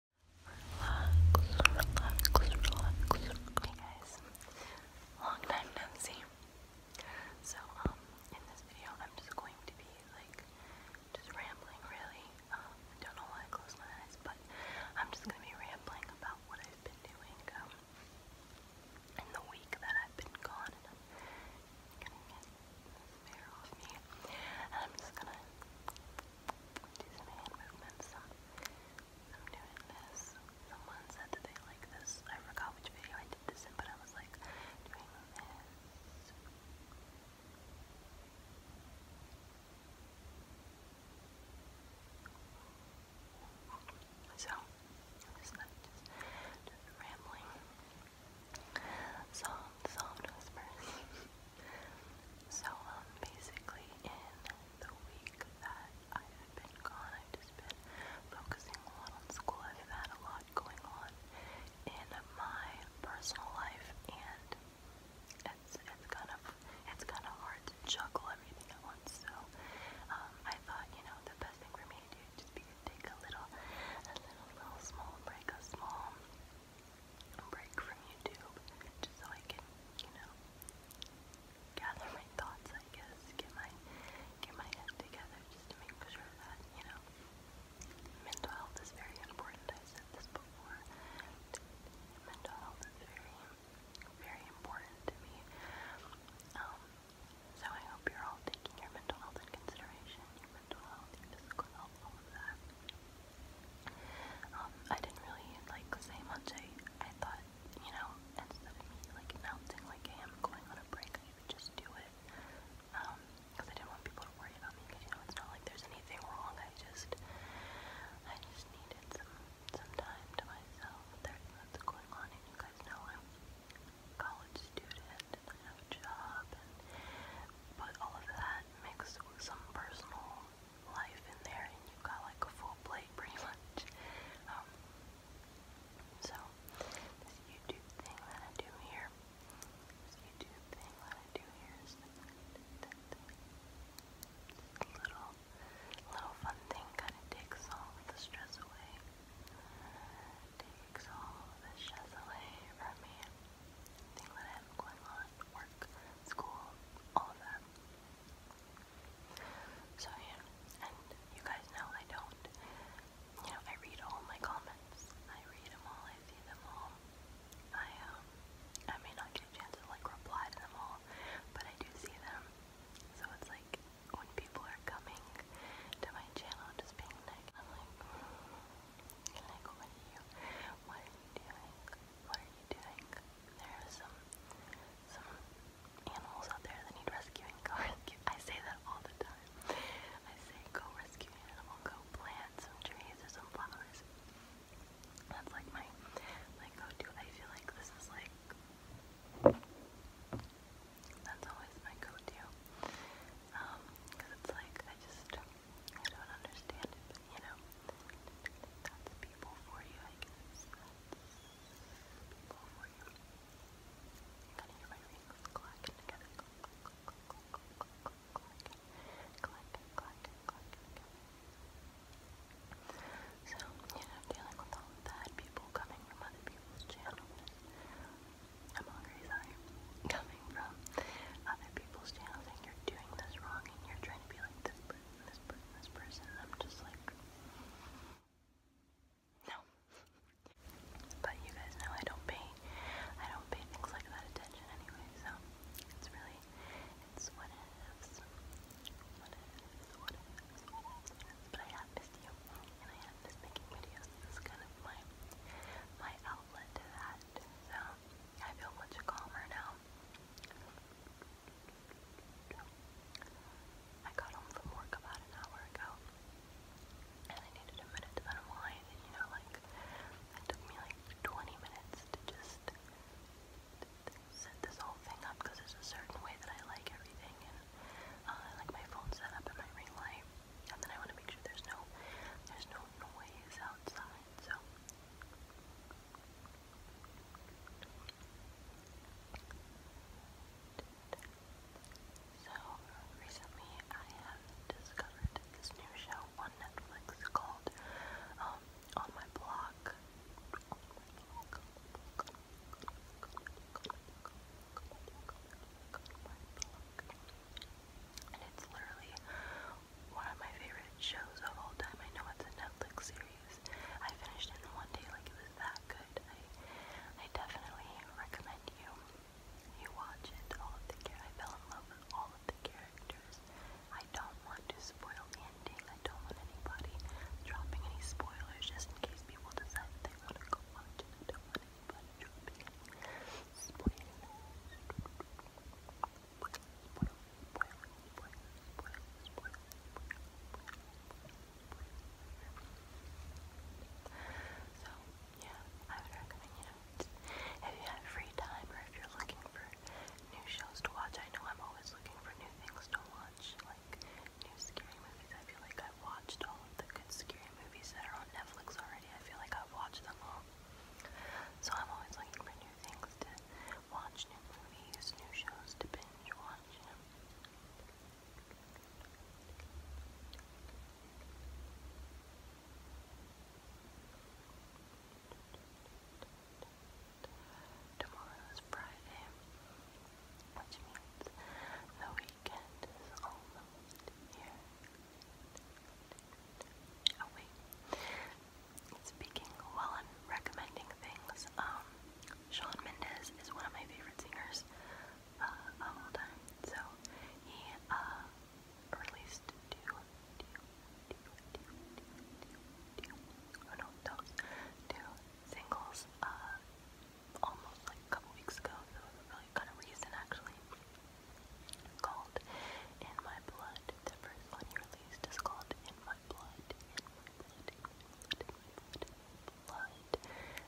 Hey guys, long time no see. So, in this video, I'm just going to be like just rambling, really. don't know why I close my eyes, but I'm just gonna be rambling about what I've been doing in the week that I've been gone, and I'm off me, and I'm just gonna do hand movements. I'm doing this. Someone said that they like this. I forgot which video I did this in, but I was like doing this. So, I'm rambling. Soft, soft whispers. So, um, basically, in the week that I've been gone, I've just been focusing a lot on school. I've had a lot going on in my personal life, and it's it's kind of it's kind of hard to juggle everything at once. So, um, I thought you know the best thing for me to do would just be to take a little, a little, little small break, a small break from YouTube just so I can, you know, gather my thoughts, I guess, get my get my head together just to make sure that, you know, mental health is very important. I said this before. Mental health is very very important to me. Um, so I hope you're all taking your mental health in consideration, mental health, your physical health, all um, I didn't really like say much. I I thought, you know, instead of me like announcing like hey, I'm going on a break, I would just do it. because um, I didn't want people to worry about me. Because you know, it's not like there's anything wrong. I just I just needed some time to myself. There's lots going on, and you guys know I'm a college student and I have a job, and but all of that mixed with some personal life in there and you've got like a full plate pretty much. Um, so, this YouTube thing that I do here, this YouTube thing that I do here is a little, little fun thing kind takes all the stress away, takes all the stress away from me, thing that I have going on, work, school, all of that. So yeah, and you guys know I don't, you know, I read all my comments. I read them all, I see them all. I, um, I may not get a chance to, like, reply to them all, but I do see them. So it's like, when people are coming to my channel just being like, hmm, can I go with you? What are you doing? What are you doing? There are some some animals out there that need rescuing. Go rescue. I say that all the time. I say go rescue an animal. Go plant some trees or some flowers. That's like my my go-to. I feel like this is like that's always my go-to. Um, it's like I just don't understand it you know, that's people for you, So, you know, dealing with all of that, people coming from other people's channels. I'm hungry, sorry. Coming from other people's channels and you're doing this wrong and you're trying to be like this person, this person, this person, I'm just like, no. but you guys know I don't pay, I don't pay things like that attention anyway, so it's really, it is, what it is, but I have missed you, and I have missed making videos, this is kind of my, my outlet to that, so I feel much calmer now. I got home from work about an hour ago, and I needed a minute to unwind, and you know, like, it took me like 20 minutes to just set this whole thing up, because there's a certain way that I like everything, and uh, I like my phone set up and my ring light, and then I want to make sure there's no, there's no noise outside, so... So, recently I have discovered this new show on Netflix called um, On My Block. And it's literally one of my favorite shows of all time. I know it's a Netflix series. I finished it in one day, like it was that good. I, I definitely recommend you. You watch it. All of the I fell in love with all of the characters. I don't want to spoil the ending. I don't want anybody dropping any spoilers, just in case people decide that they want to go watch it. I don't want anybody dropping any spoilers. So, yeah, I would recommend, you know, if you have free time or if you're looking for new shows to watch, I know I'm always looking for new things to watch, like new scary movies. I feel like I've watched all of the good scary movies that are on Netflix already. I feel like I've watched them all. So I'm always looking for new things to watch new movies, new shows to binge watch. Tomorrow is Friday, means the weekend is almost here. Oh Speaking while I'm recommending things, um, Sean Mendez is one of my favorite singers So he released two, two, two, two, two, two, oh singles almost like a couple weeks ago. So it was really kind of recent actually. Called In My Blood. The first one he released is called In My blood,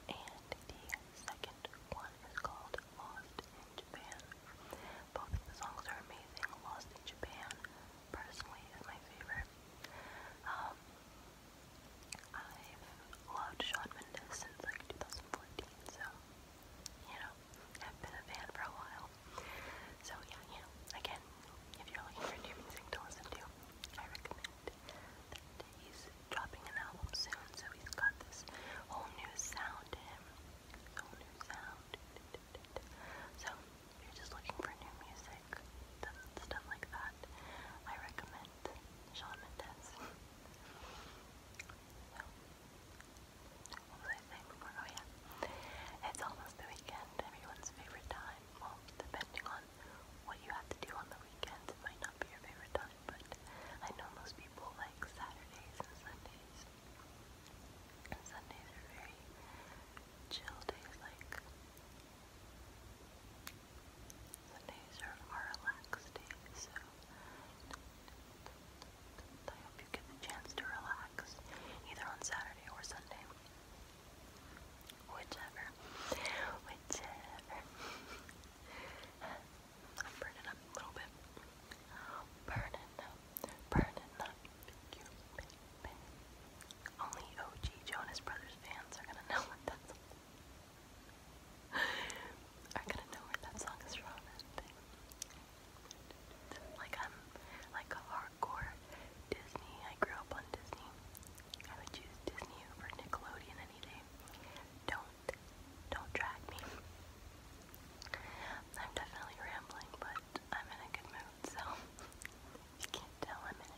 And the second one is called Lost in Japan. Both the songs are amazing. Lost in Japan, personally, is my favorite. Um, I've loved Shawn Mendes since like 2014, so, you know, I've been a fan for a while. So yeah, you know, again, if you're looking for new music to listen to, I recommend that he's dropping an album soon, so he's got this whole new sound to him. Whole new sound. So if you're just looking for new music, stuff like that, I recommend Shawn Mendes. what was I saying before? Oh yeah. It's almost the weekend, everyone's favorite time well, depending on what you have to do on the weekends, it might not be your favorite time, but I know most people like Saturdays and Sundays. Sundays are very chill days, like Sundays are our relaxed days, so I hope you get the chance to relax either on Saturday or Sunday. Whichever. Whichever. I'm burning up a little bit. Burning up. Burning up. You Only OG Jonas Brothers fans are gonna know where that song is from. Like i like a hard or Disney. I grew up on Disney. I would choose Disney over Nickelodeon any day. Don't, don't drag me. I'm definitely rambling, but I'm in a good mood, so you can't tell I'm in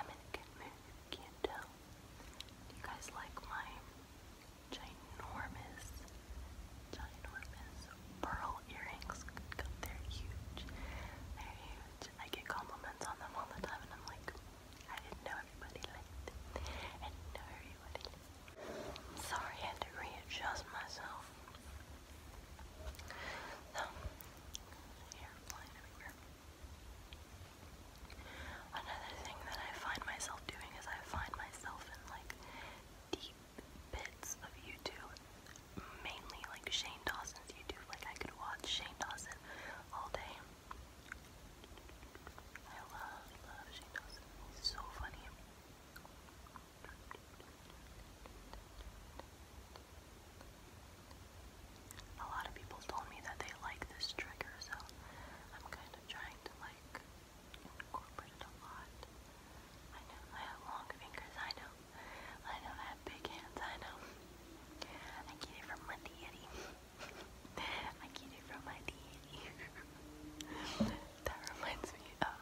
I'm in a good mood. You can't tell. Do you guys like my ginormous, ginormous pearl earrings? They're huge. they huge. I get compliments on them all the time, and I'm like, I didn't know everybody liked it. I did know everybody Sorry, I had to readjust myself. So, hair flying everywhere. Another thing that I find myself doing is I find myself in like deep bits of YouTube mainly like Shane Dawson's YouTube. Like I could watch Shane Dawson all day. I love, love Shane Dawson. He's so funny. A lot of people told me that they like this trigger, so I'm kind of trying to like incorporate it a lot. I know I have long fingers, I know. I know I have big hands, I know. I get it from my deity. I get it from my deity. that reminds me of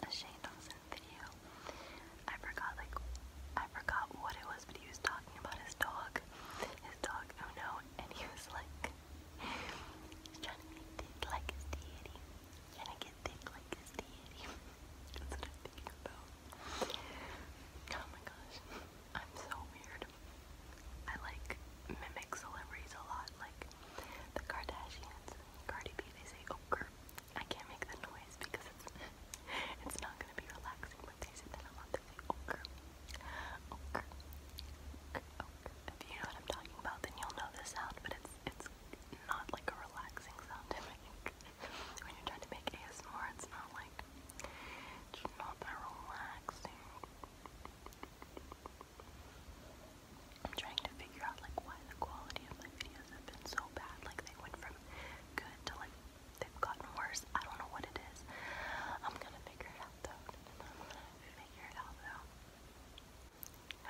a Shane Dawson video. I forgot like I forgot what it was, but he was talking about his dog. His dog, oh no, and he was like he's trying to be thick like his deity. Trying to get thick like his deity. I'm Oh my gosh, I'm so weird. I like mimic celebrities a lot, like the Kardashians Cardi B. They say ogre. Oh, I can't make the noise because it's it's not gonna be relaxing. But they say that a lot. They say ogre, oh, oh, If you know what I'm talking about, then you'll know the sound. But it's it's not like a relaxing sound. I think when you're to make ASMR, it's not like, it's not that relaxing. I'm trying to figure out like why the quality of my videos have been so bad. Like they went from good to like they've gotten worse. I don't know what it is. I'm gonna figure it out though. figure it out though.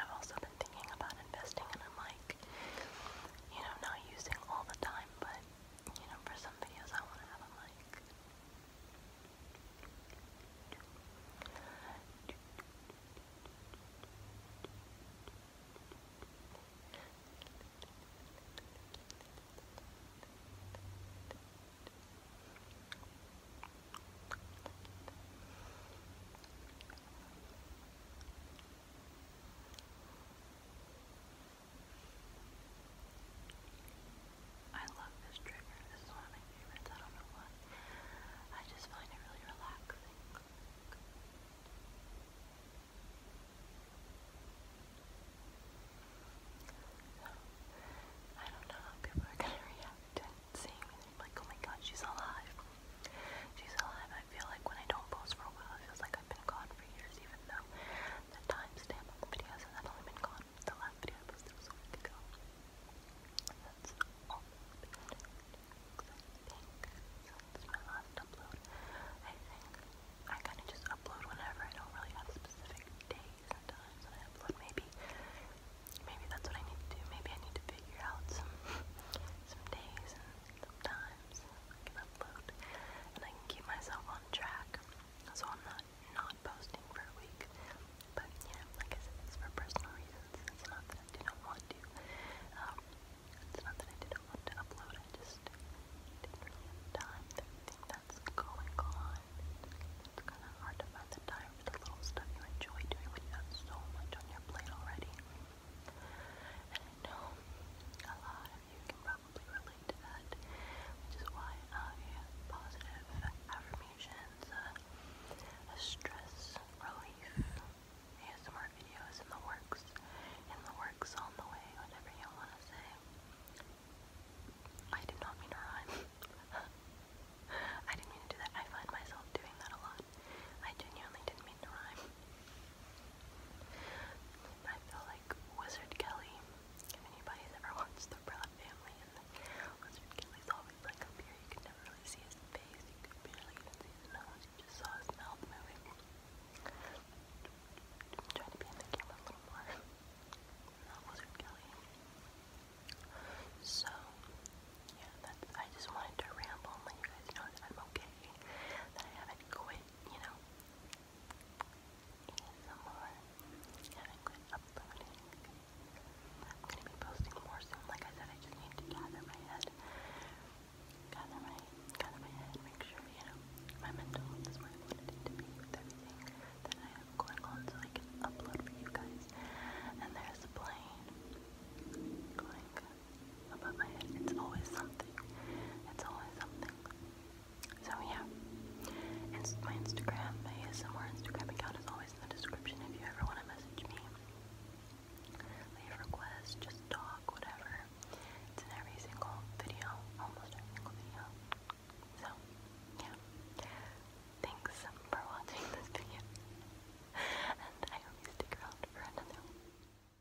I've also been thinking about investing in a mic. You know, not using all the time, but you know, for some videos I want to have a mic. I love this trigger. This is one of my favorites. I don't know what. I just find it really relaxing. I don't know how people are gonna react to seeing me. like, oh my god, she's alive. She's alive. I feel like when I don't post for a while, it feels like I've been gone for years, even though the timestamp on the videos has only been gone. The last video I a week ago. That's my last upload. I kind of just upload whenever. I don't really have specific days and times I upload. Maybe, maybe that's what I need to do. Maybe I need to figure out some some days and some times times. I can upload and I can keep myself on track. So I'm not not posting for a week. But you know, like I said, it's for personal reasons. It's not that I didn't want to. Um, it's not that I didn't want to upload. I just didn't really have time for everything that's going on. It's kind of hard to find the time for the little stuff you enjoy doing when you have so much on your plate already. Um, and I a lot you can probably relate to that, which is why I positive affirmations, uh, a stress relief, ASMR videos in the works, in the works on the way, whatever you want to say. I did not mean to rhyme. I didn't mean to do that. I find myself doing that a lot. I genuinely didn't mean to rhyme. I feel like Wizard Kelly, if anybody's ever watched The Proud Family, Wizard Kelly's always like up here, you can never really see his face, you could barely even see his nose, you just saw his mouth moving. trying to be in the camera a little more. Wizard Kelly. So, yeah, I just wanted to ramble let you guys know that I'm okay, that I haven't quit you know, ASMR haven't quit uploading. I'm gonna be posting more Like I said, I just need to gather my head. Gather my gather my head, make sure, you know, my mental is where I want it to be with I have going on so I can upload for you guys. And there's a plane above my head. It's always something. It's always something. So yeah. my Instagram, my ASMR Instagram account is always in the description if you ever want to message me. Leave requests, just talk, whatever. It's in every single video, almost every single video. So, yeah. Thanks for watching this video. and I hope you stick around for another one.